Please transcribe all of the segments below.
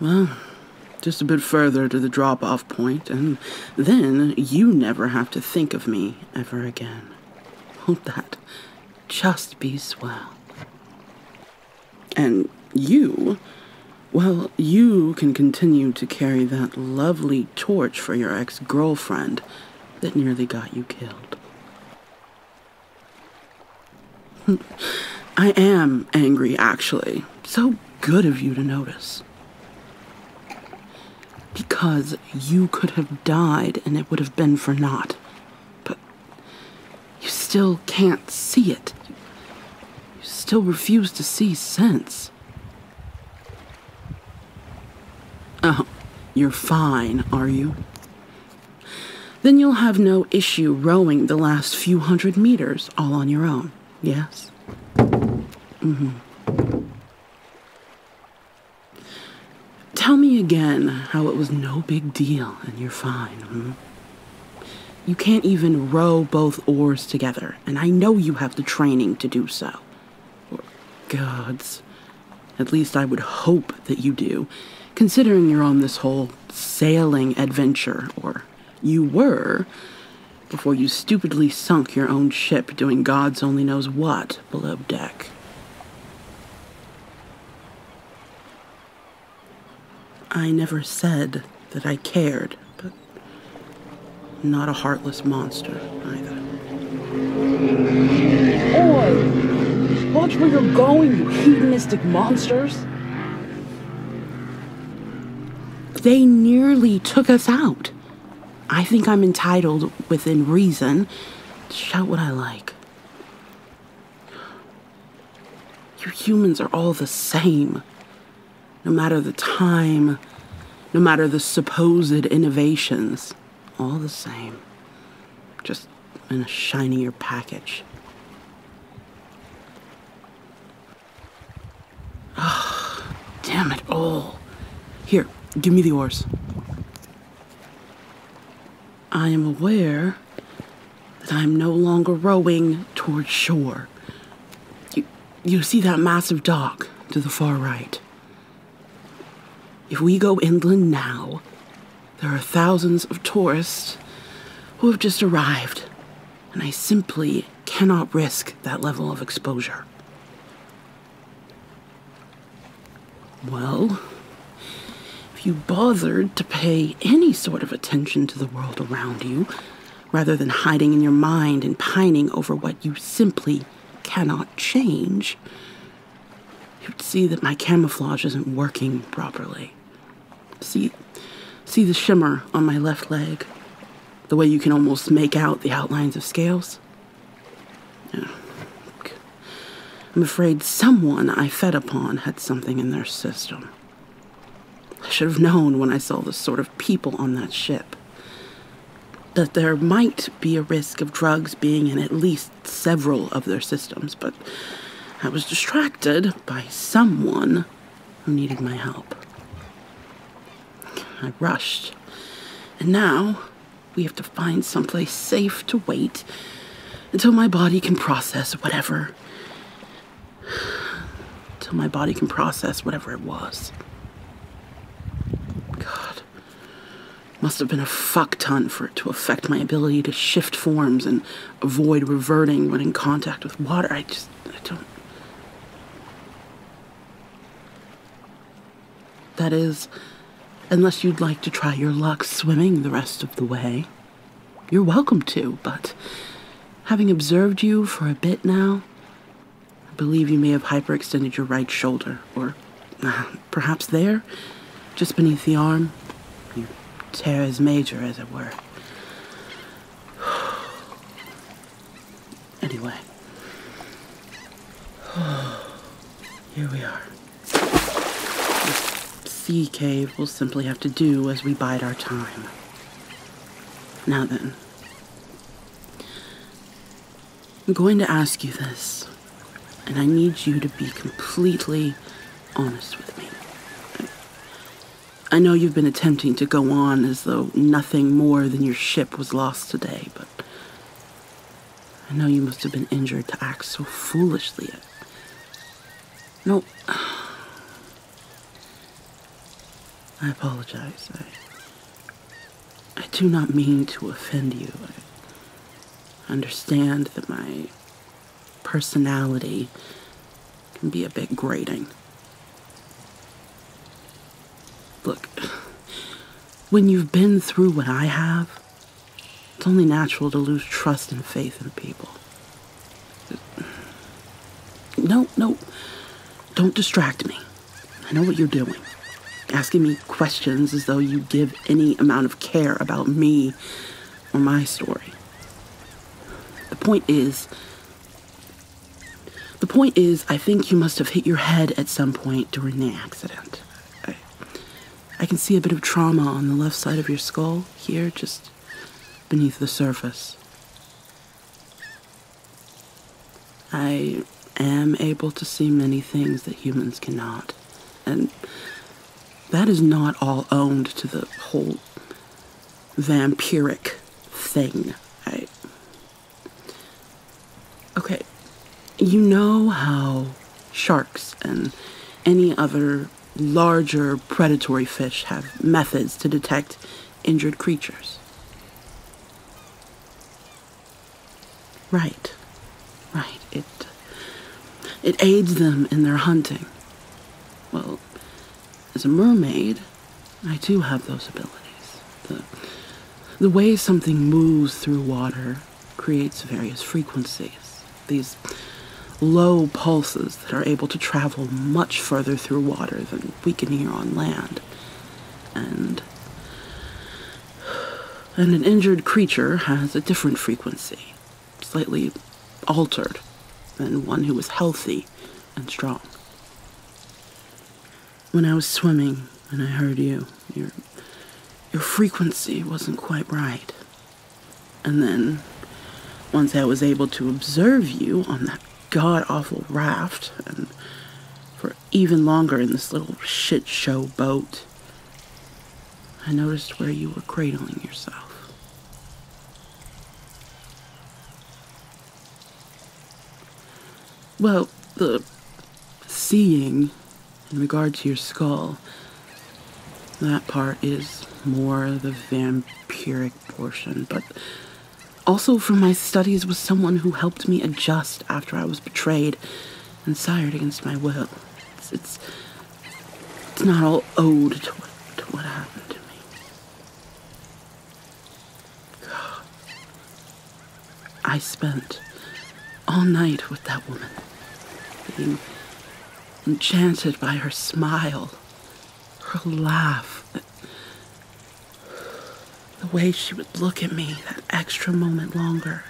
Well, just a bit further to the drop off point, and then you never have to think of me ever again. Won't that just be swell? And you, well, you can continue to carry that lovely torch for your ex girlfriend that nearly got you killed. I am angry, actually. So good of you to notice. Because you could have died and it would have been for naught. But you still can't see it. You still refuse to see sense. Oh, you're fine, are you? Then you'll have no issue rowing the last few hundred meters all on your own, yes? Mm-hmm. Tell me again how it was no big deal and you're fine, hmm? You can't even row both oars together, and I know you have the training to do so. gods. At least I would hope that you do, considering you're on this whole sailing adventure, or you were, before you stupidly sunk your own ship doing God's only knows what below deck. I never said that I cared, but not a heartless monster either. Oi! Watch where you're going, you hedonistic monsters! They nearly took us out. I think I'm entitled, within reason, to shout what I like. You humans are all the same. No matter the time, no matter the supposed innovations, all the same. Just in a shinier package. Oh, damn it all. Here, give me the oars. I am aware that I am no longer rowing towards shore. You, you see that massive dock to the far right. If we go inland now, there are thousands of tourists who have just arrived, and I simply cannot risk that level of exposure. Well, if you bothered to pay any sort of attention to the world around you, rather than hiding in your mind and pining over what you simply cannot change, you'd see that my camouflage isn't working properly. See, see the shimmer on my left leg? The way you can almost make out the outlines of scales? Yeah. I'm afraid someone I fed upon had something in their system. I should have known when I saw the sort of people on that ship that there might be a risk of drugs being in at least several of their systems, but I was distracted by someone who needed my help. I rushed, and now we have to find someplace safe to wait until my body can process whatever. Until my body can process whatever it was. God. Must have been a fuck ton for it to affect my ability to shift forms and avoid reverting when in contact with water. I just, I don't. That is, unless you'd like to try your luck swimming the rest of the way, you're welcome to, but having observed you for a bit now, I believe you may have hyperextended your right shoulder, or uh, perhaps there, just beneath the arm. you Your teres major, as it were. Anyway, here we are. This sea cave will simply have to do as we bide our time. Now then, I'm going to ask you this, and I need you to be completely honest with me. I know you've been attempting to go on as though nothing more than your ship was lost today, but I know you must have been injured to act so foolishly. No. I apologize. I, I do not mean to offend you. I understand that my personality can be a bit grating. Look, when you've been through what I have, it's only natural to lose trust and faith in people. No, no, don't distract me. I know what you're doing. Asking me questions as though you give any amount of care about me or my story. The point is, the point is, I think you must have hit your head at some point during the accident. I, can see a bit of trauma on the left side of your skull here, just beneath the surface. I am able to see many things that humans cannot, and that is not all owned to the whole vampiric thing. Okay, you know how sharks and any other larger predatory fish have methods to detect injured creatures. Right, right. It, it aids them in their hunting. Well, as a mermaid, I do have those abilities. The, the way something moves through water creates various frequencies. These low pulses that are able to travel much further through water than we can hear on land. And and an injured creature has a different frequency slightly altered than one who was healthy and strong. When I was swimming and I heard you, your, frequency wasn't quite right. And then, once I was able to observe you on that god awful raft, and for even longer in this little shit show boat, I noticed where you were cradling yourself. Well, the seeing in regard to your skull, that part is more the vampiric portion, but also from my studies was someone who helped me adjust after I was betrayed and sired against my will. it's it's not all owed to what, happened to me. God. I spent all night with that woman, being enchanted by her smile, her laugh, the way she would look at me that extra moment longer.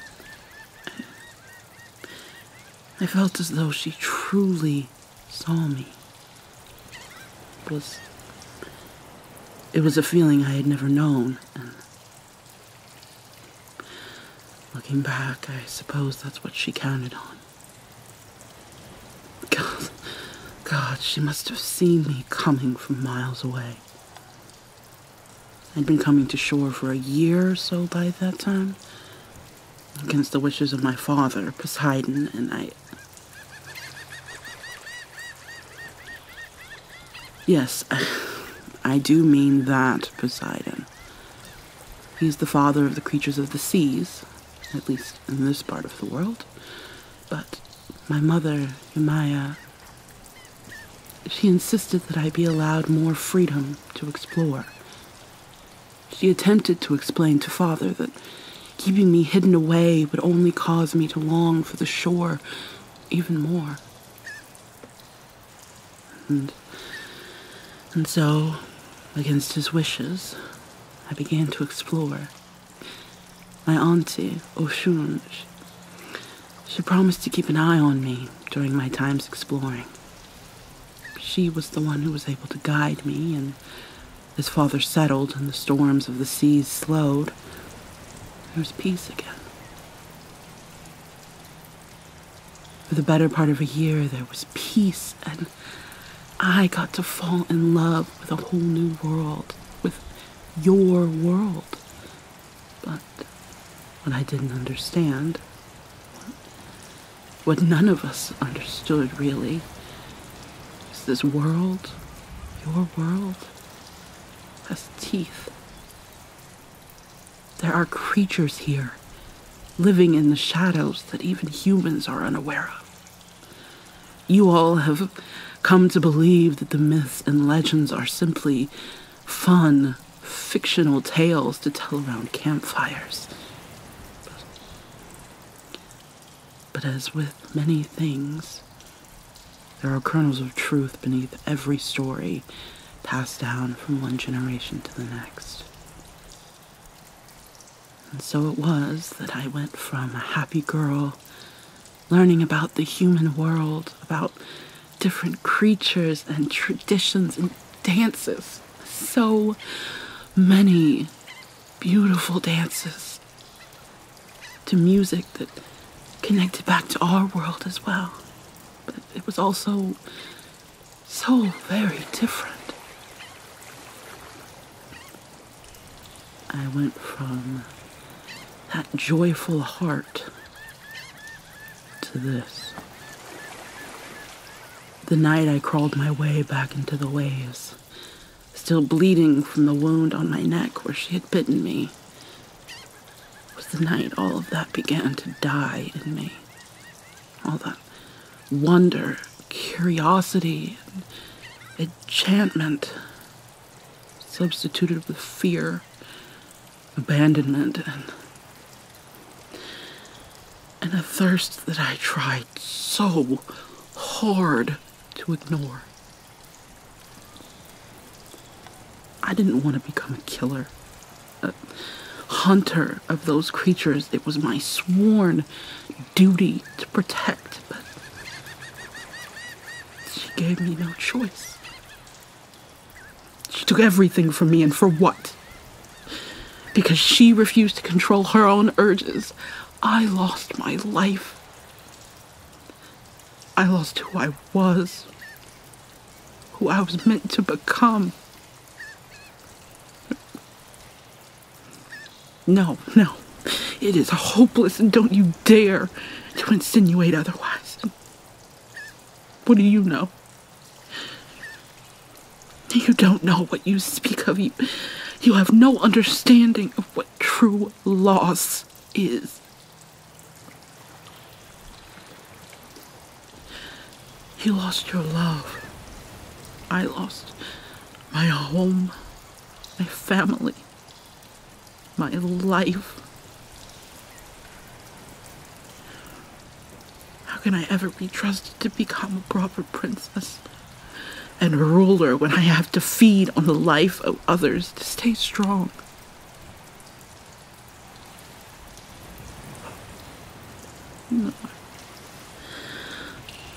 I felt as though she truly saw me. It was. It was a feeling I had never known, and. Looking back, I suppose that's what she counted on. God, God, she must have seen me coming from miles away. I'd been coming to shore for a year or so by that time, against the wishes of my father, Poseidon, and I. Yes, I do mean that Poseidon. He's the father of the creatures of the seas, at least in this part of the world. But my mother, Yamaya, she insisted that I be allowed more freedom to explore. She attempted to explain to father that keeping me hidden away would only cause me to long for the shore even more. And, so, against his wishes, I began to explore. My auntie, Oshun, she promised to keep an eye on me during my times exploring she was the one who was able to guide me, and as father settled and the storms of the seas slowed, there was peace again. For the better part of a year, there was peace, and I got to fall in love with a whole new world, with your world. But what I didn't understand what none of us understood, really, is this world, your world, has teeth. There are creatures here living in the shadows that even humans are unaware of. You all have come to believe that the myths and legends are simply fun, fictional tales to tell around campfires. But as with many things, there are kernels of truth beneath every story passed down from one generation to the next. And so it was that I went from a happy girl learning about the human world, about different creatures and traditions and dances, so many beautiful dances to music that connected back to our world as well. But it was also so very different. I went from that joyful heart to this. The night I crawled my way back into the waves, still bleeding from the wound on my neck where she had bitten me, was the night all of that began to die in me. All that wonder, curiosity, enchantment substituted with fear, abandonment, and a thirst that I tried so hard to ignore. I didn't want to become a killer, a hunter of those creatures. It was my sworn duty to protect, but she gave me no choice. She took everything from me, and for what? Because she refused to control her own urges, I lost my life. I lost who I was, who I was meant to become. No, no, it is hopeless, and don't you dare to insinuate otherwise. What do you know? You don't know what you speak of. You, you have no understanding of what true loss is. He lost your love. I lost my home, my family, my life. How can I ever be trusted to become a proper princess and ruler when I have to feed on the life of others to stay strong?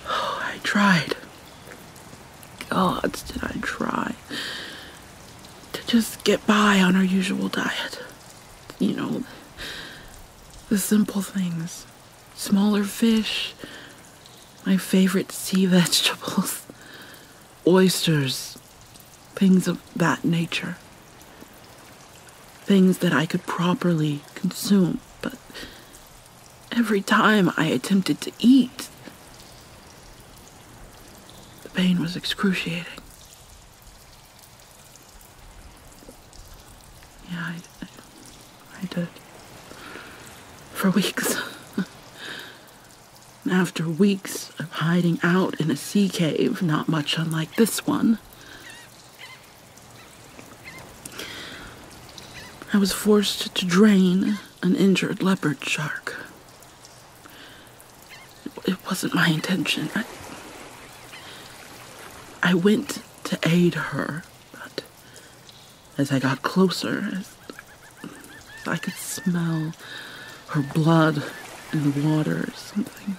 Oh, I tried. Gods, did I try to just get by on our usual diet? You know, the simple things smaller fish, my favorite sea vegetables, oysters, things of that nature. Things that I could properly consume, but every time I attempted to eat, the pain was excruciating. Yeah, I did. For weeks. After weeks of hiding out in a sea cave, not much unlike this one, I was forced to drain an injured leopard shark. It wasn't my intention. I, went to aid her, but as I got closer, I could smell her blood in the water. Something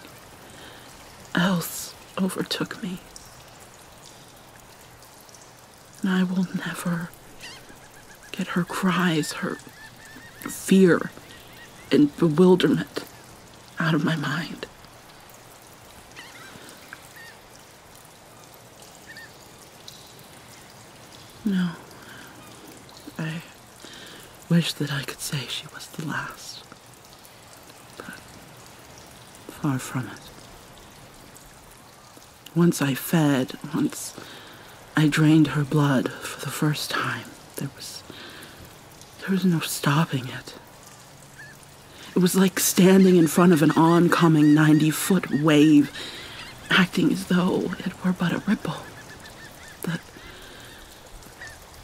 else overtook me. And I will never get her cries, her fear and bewilderment out of my mind. No. I wish that I could say she was the last, but far from it. Once I fed, once I drained her blood for the first time, there was there was no stopping it. It was like standing in front of an oncoming 90 foot wave, acting as though it were but a ripple. That,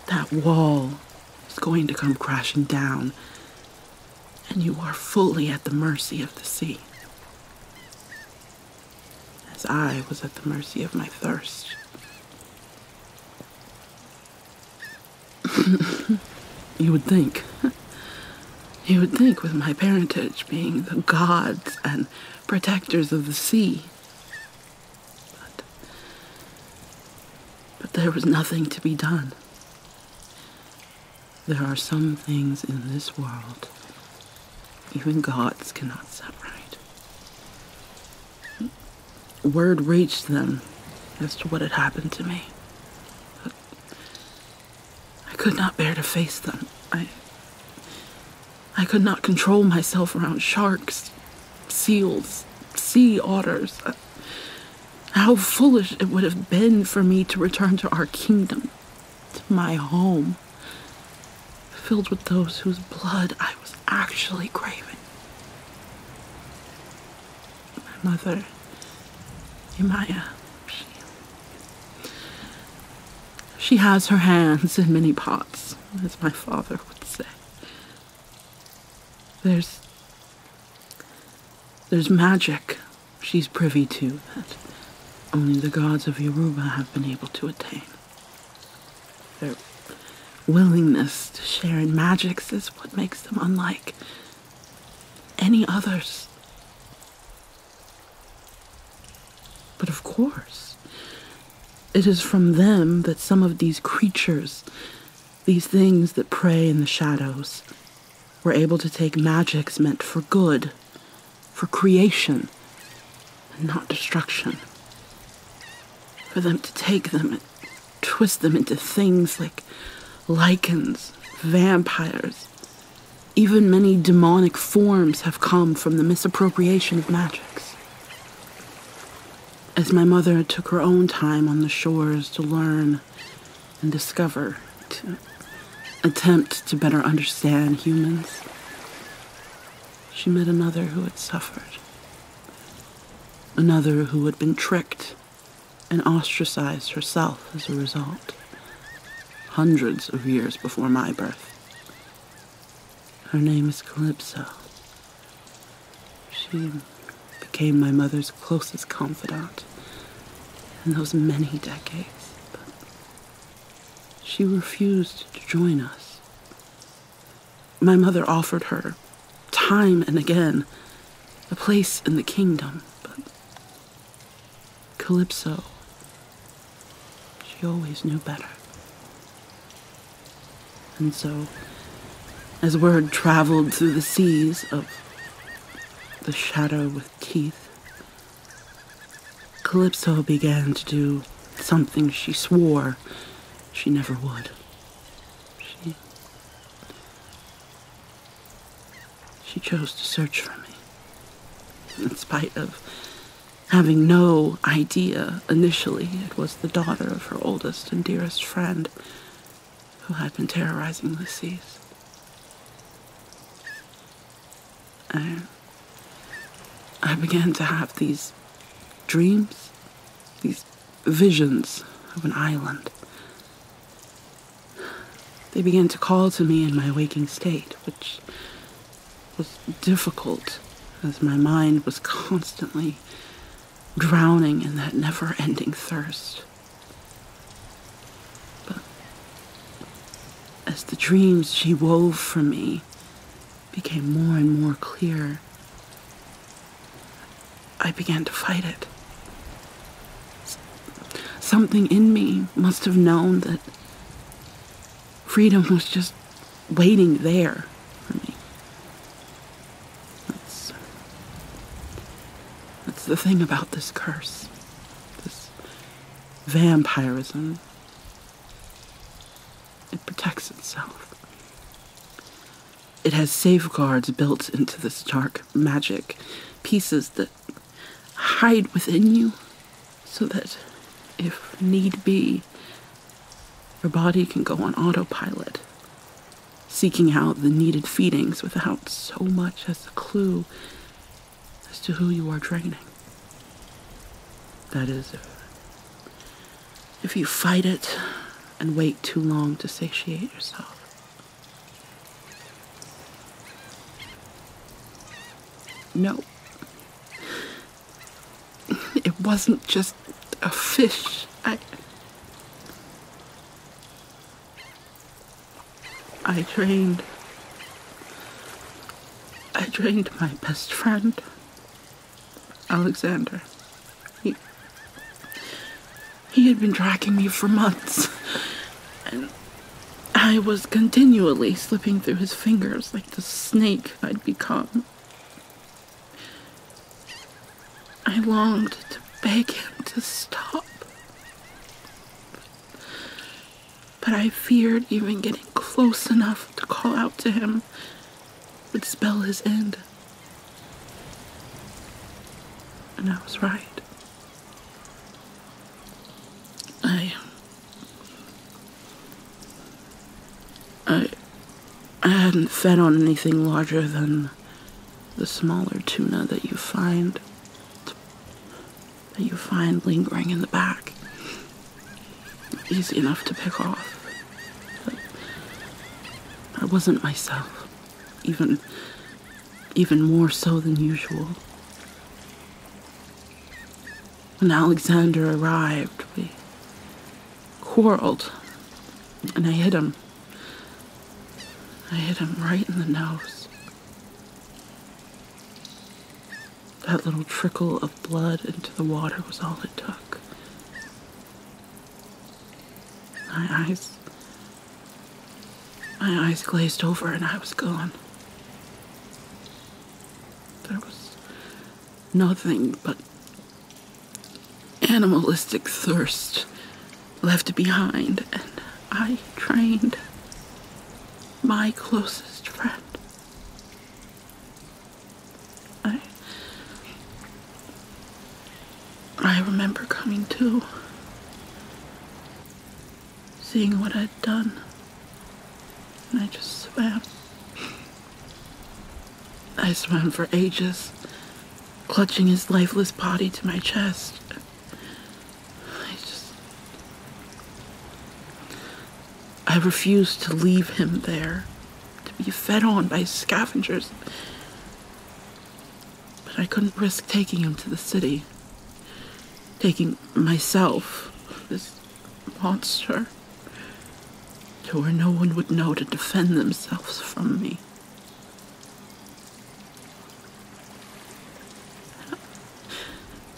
that wall is going to come crashing down, and you are fully at the mercy of the sea. As I was at the mercy of my thirst you would think. You would think, with my parentage being the gods and protectors of the sea. But, but there was nothing to be done. There are some things in this world even gods cannot set right. Word reached them as to what had happened to me. I could not bear to face them. I I could not control myself around sharks, seals, sea otters. Uh, how foolish it would have been for me to return to our kingdom, to my home, filled with those whose blood I was actually craving my mother, Emaya. She, has her hands in many pots, as my father would say. There's there's magic she's privy to that only the gods of Yoruba have been able to attain. Their willingness to share in magics is what makes them unlike any others. But of course, it is from them that some of these creatures, these things that prey in the shadows, were able to take magics meant for good, for creation, and not destruction. For them to take them twist them into things like lichens, vampires. Even many demonic forms have come from the misappropriation of magics. As my mother took her own time on the shores to learn and discover, to attempt to better understand humans, she met another who had suffered, another who had been tricked and ostracized herself as a result, hundreds of years before my birth. Her name is Calypso. She became my mother's closest confidant in those many decades, but she refused to join us. My mother offered her, time and again, a place in the kingdom, but Calypso. She always knew better. And so, as word traveled through the seas of the shadow with teeth, Calypso began to do something she swore she never would. She she chose to search for me, in spite of having no idea initially it was the daughter of her oldest and dearest friend who had been terrorizing the seas. I, I began to have these dreams, these visions of an island they began to call to me in my waking state, which was difficult as my mind was constantly drowning in that never ending thirst. But as the dreams she wove for me became more and more clear, I began to fight it. Something in me must have known that freedom was just waiting there for me. That's, that's the thing about this curse, this vampirism. It protects itself. It has safeguards built into this dark magic pieces that hide within you so that if need be, your body can go on autopilot, seeking out the needed feedings without so much as a clue as to who you are draining. That is, if you fight it and wait too long to satiate yourself. No. It wasn't just a fish. I. I trained. I trained my best friend, Alexander. He had been tracking me for months, and I was continually slipping through his fingers like the snake I'd become. I longed to beg him to stop, but I feared even getting close enough to call out to him would spell his end. And I was right. I I I hadn't fed on anything larger than the smaller tuna that you find that you find lingering in the back. Easy enough to pick off. But I wasn't myself. Even even more so than usual. When Alexander arrived, we quarreled, and I hit him. I hit him right in the nose. That little trickle of blood into the water was all it took. My eyes my eyes glazed over and I was gone. There was nothing but animalistic thirst left behind, and I trained my closest friend. I remember coming to, seeing what I'd done, and I just swam. I swam for ages, clutching his lifeless body to my chest. I just. I refused to leave him there, to be fed on by scavengers but I couldn't risk taking him to the city. Taking myself, this monster, to where no one would know to defend themselves from me.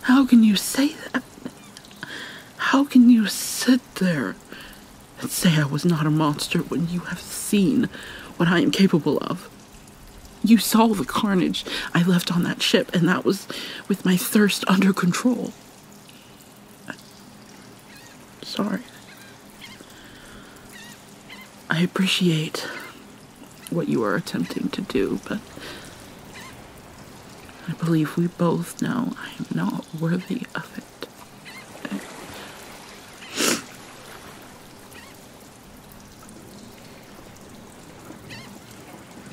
How can you say that? How can you sit there and say I was not a monster when you have seen what I am capable of? You saw the carnage I left on that ship, and that was with my thirst under control. Sorry. I appreciate what you are attempting to do, but I believe we both know I am not worthy of it.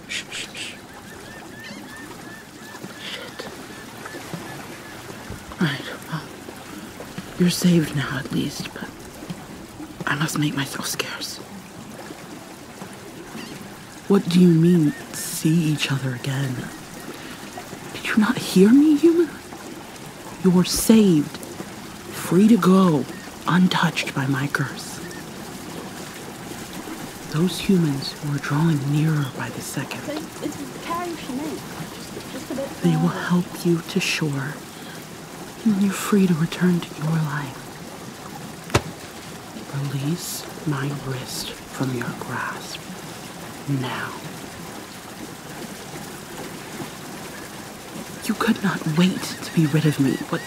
Shh, shh, shh. Right, well, you're saved now at least, but I must make myself scarce. What do you mean, see each other again? Did you not hear me, human? You are saved, free to go, untouched by my curse. Those humans were drawing nearer by the second. They will help you to shore, and you're free to return to your life. Release my wrist from your grasp now. You could not wait to be rid of me. What,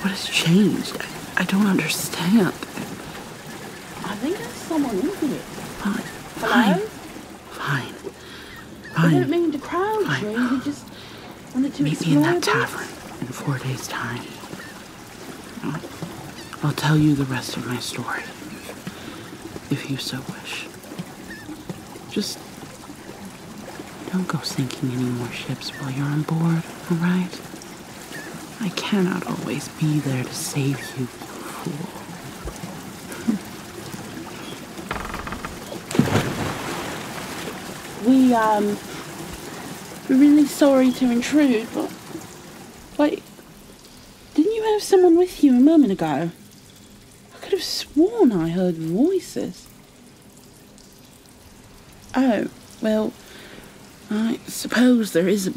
what has changed? I, don't understand. I think there's someone in here. Fine. Hello? Fine. Fine. I didn't mean to crowd you. You just wanted to Meet me in that tavern in four days' time. I'll tell you the rest of my story if you so wish. Just don't go sinking any more ships while you're on board, alright? I cannot always be there to save you, fool. we um we're really sorry to intrude, but wait, didn't you have someone with you a moment ago? I could have sworn I heard voices. Oh, well, I suppose there is a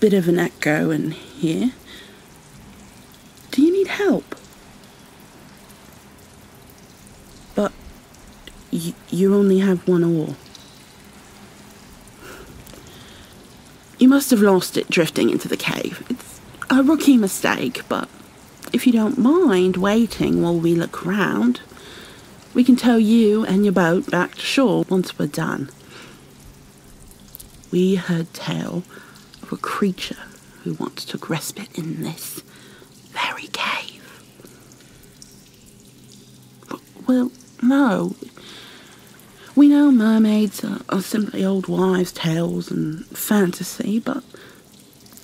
bit of an echo in here. Do you need help? But you, only have one oar. You must have lost it drifting into the cave. It's a rookie mistake, but if you don't mind waiting while we look round, we can tow you and your boat back to shore once we're done. We heard tell of a creature who once took respite in this very cave. well, no. We know mermaids are simply old wives' tales and fantasy, but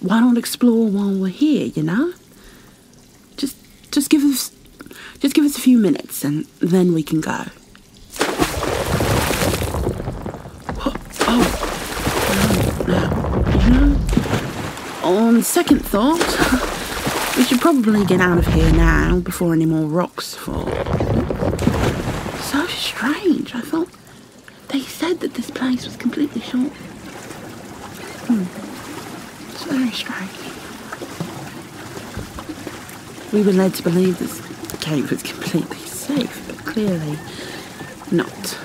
why don't explore while we're here, you know? Just just give us just give us a few minutes and then we can go. Oh, oh. no, You know, on second thought, we should probably get out of here now before any more rocks fall. So strange. I thought they said that this place was completely safe. Hmm. It's very strange. We were led to believe this cave was completely safe, but clearly not.